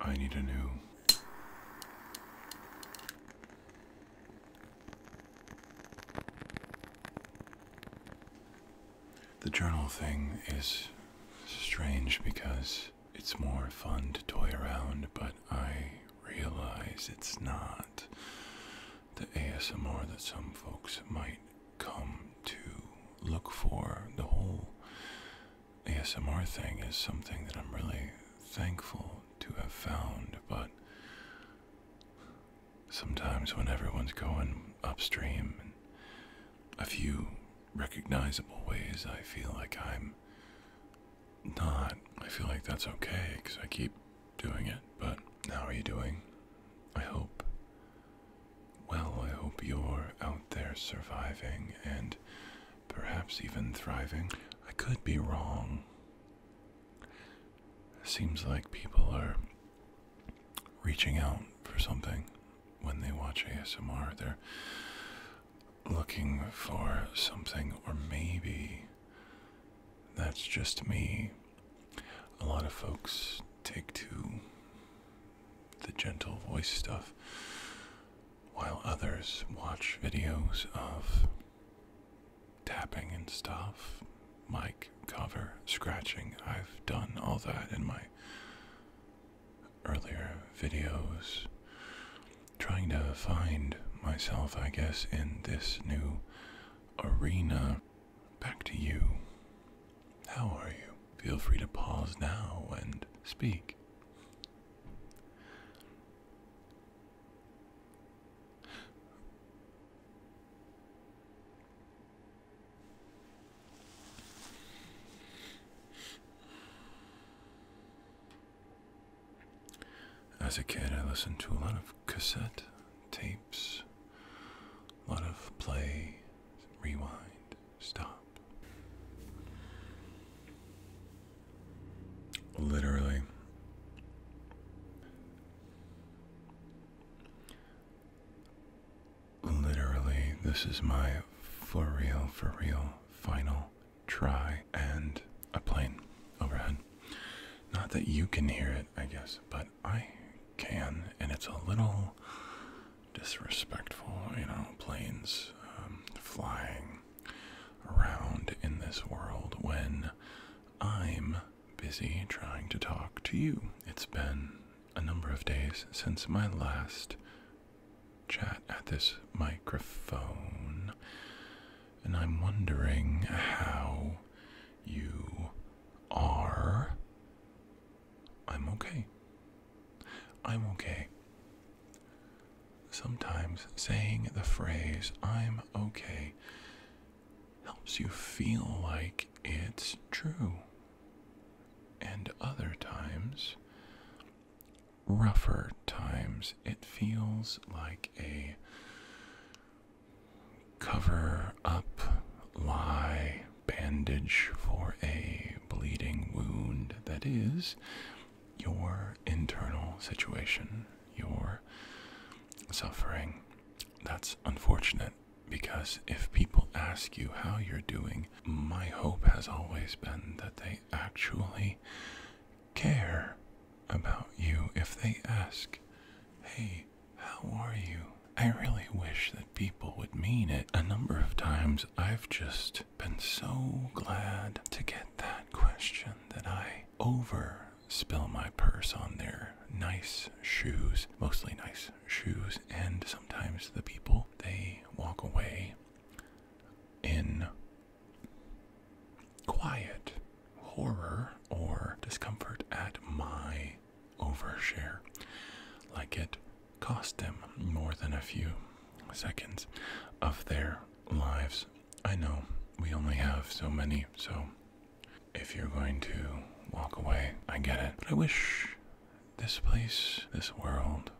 I need a new. The journal thing is strange because it's more fun to toy around, but I realize it's not the ASMR that some folks might come to look for. The whole ASMR thing is something that I'm really thankful to have found, but sometimes when everyone's going upstream in a few recognizable ways, I feel like I'm not, I feel like that's okay because I keep doing it. But how are you doing? I hope. Well, I hope you're out there surviving and perhaps even thriving. I could be wrong. Seems like people are reaching out for something when they watch ASMR. They're looking for something, or maybe that's just me. A lot of folks take to the gentle voice stuff, while others watch videos of tapping and stuff, mic cover, scratching. I've done all that in my earlier videos, trying to find myself, I guess, in this new arena. Back to you. How are you? Feel free to pause now and speak. As a kid, I listened to a lot of cassette tapes, a lot of play, rewind, stop. Literally. Literally, this is my for real, for real final try and a plane overhead. Not that you can hear it, I guess, but I can, and it's a little disrespectful, you know, planes um, flying around in this world when I'm busy trying to talk to you. It's been a number of days since my last chat at this microphone, and I'm wondering how you are. I'm okay. I'm okay. Sometimes saying the phrase, I'm okay, helps you feel like it's true and other times, rougher times, it feels like a cover up, lie, bandage for a bleeding wound that is your internal situation, your suffering. That's unfortunate. Because if people ask you how you're doing, my hope has always been that they actually care about you if they ask, hey, how are you? I really wish that people would mean it. A number of times I've just been so glad to get that question that I over spill my purse on their nice shoes, mostly nice shoes, and sometimes the people they walk away in quiet horror or discomfort at my overshare, like it cost them more than a few seconds of their lives. I know we only have so many, so if you're going to walk away, I get it. But I wish this place, this world,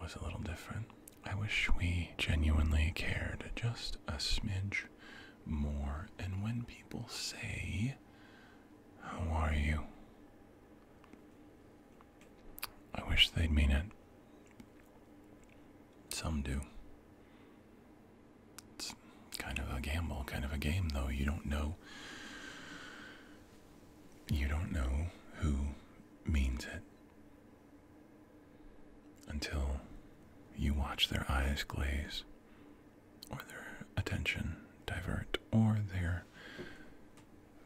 was a little different. I wish we genuinely cared just a smidge more. And when people say, How are you? I wish they'd mean it. Some do. It's kind of a gamble, kind of a game, though. You don't know. You don't know who means it until you watch their eyes glaze, or their attention divert, or their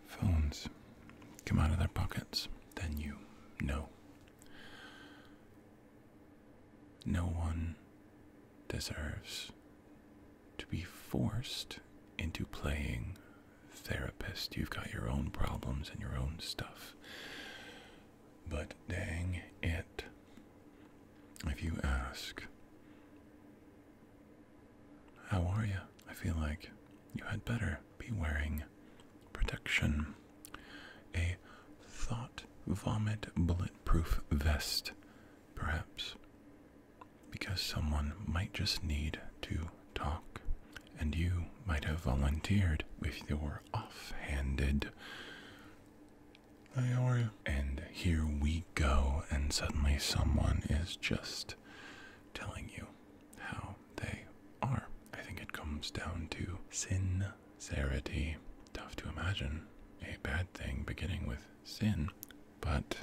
phones come out of their pockets. Then you know. No one deserves to be forced into playing therapist. You've got your own problems and your own stuff. But dang it. If you ask, how are you? I feel like you had better be wearing protection. A thought vomit bullet. Proof vest, perhaps, because someone might just need to talk, and you might have volunteered with your off-handed. Hey, how are you? And here we go, and suddenly someone is just telling you how they are. I think it comes down to sin sincerity. Tough to imagine a bad thing beginning with sin, but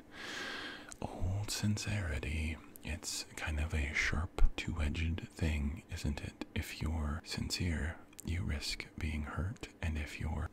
old sincerity, it's kind of a sharp, two edged thing, isn't it? If you're sincere, you risk being hurt, and if you're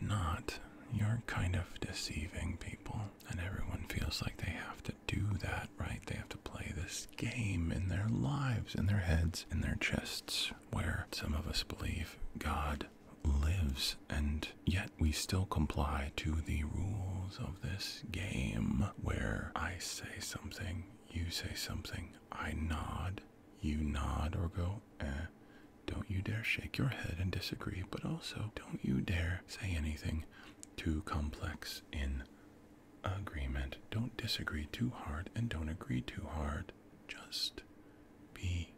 not, you're kind of deceiving people, and everyone feels like they have to do that, right? They have to play this game in their lives, in their heads, in their chests, where some of us believe God lives, and yet we still comply to the rules of this game where I say something, you say something, I nod, you nod or go, eh. Don't you dare shake your head and disagree, but also don't you dare say anything too complex in agreement. Don't disagree too hard and don't agree too hard. Just be.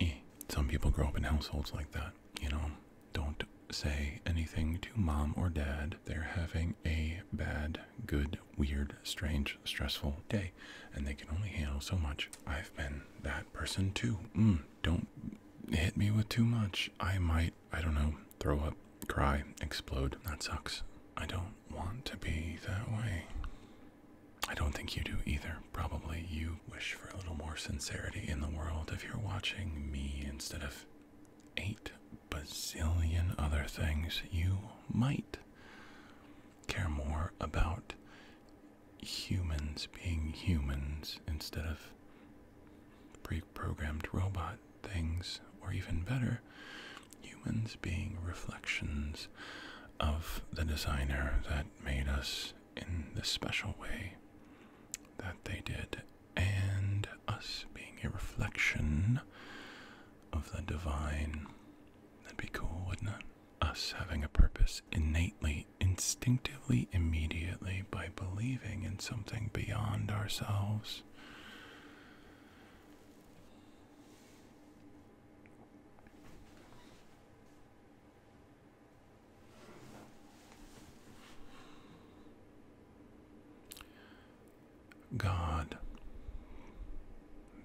Eh. Some people grow up in households like that, you know? Don't say anything to mom or dad. They're having a bad, good, weird, strange, stressful day, and they can only handle so much. I've been that person too. Mm, don't hit me with too much. I might, I don't know, throw up, cry, explode. That sucks. I don't want to be that way. I don't think you do either. Probably you wish for a little more sincerity in the world if you're watching me instead of eight bazillion other things. You might care more about humans being humans instead of Programmed robot things, or even better, humans being reflections of the designer that made us in the special way that they did, and us being a reflection of the divine. That'd be cool, wouldn't it? Us having a purpose innately, instinctively, immediately by believing in something beyond ourselves. God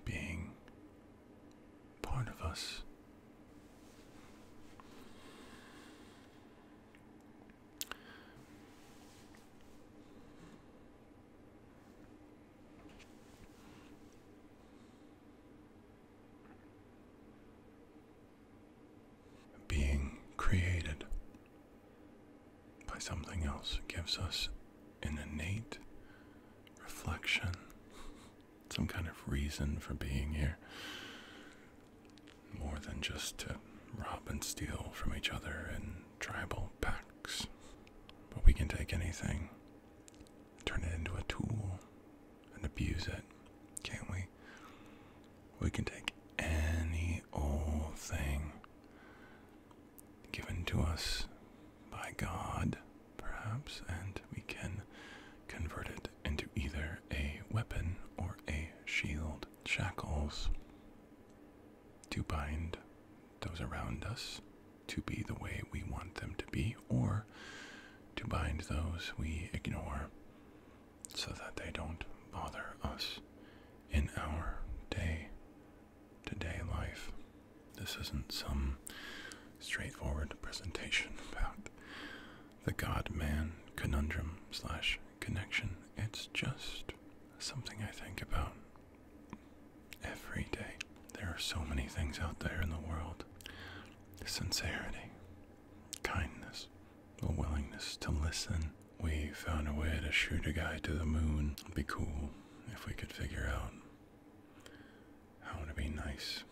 being part of us. Being created by something else gives us an innate reflection, some kind of reason for being here more than just to rob and steal from each other in tribal packs. But we can take anything, turn it into a tool, and abuse it, can't we? We can take any old thing given to us by God, perhaps, and we can convert it into either a weapon or a shield shackles to bind those around us to be the way we want them to be, or to bind those we ignore so that they don't bother us in our day to day life. This isn't some straightforward presentation about the God man conundrum slash connection. It's just something I think about every day. There are so many things out there in the world sincerity, kindness, a willingness to listen. We found a way to shoot a guy to the moon. It'd be cool if we could figure out how to be nice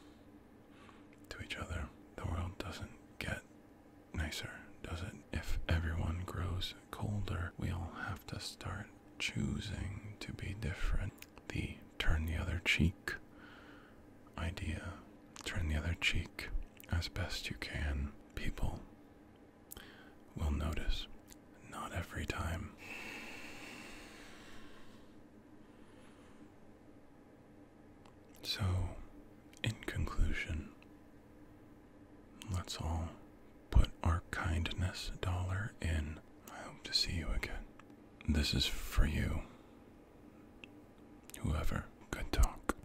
to each other. The world doesn't get nicer, does it? If everyone grows colder, we will have to start choosing to be different. The turn the other cheek idea. Turn the other cheek as best you can. People will notice. Not every time. So, in conclusion, let's all put our kindness dollar in. I hope to see you again. This is for you. Whoever could talk.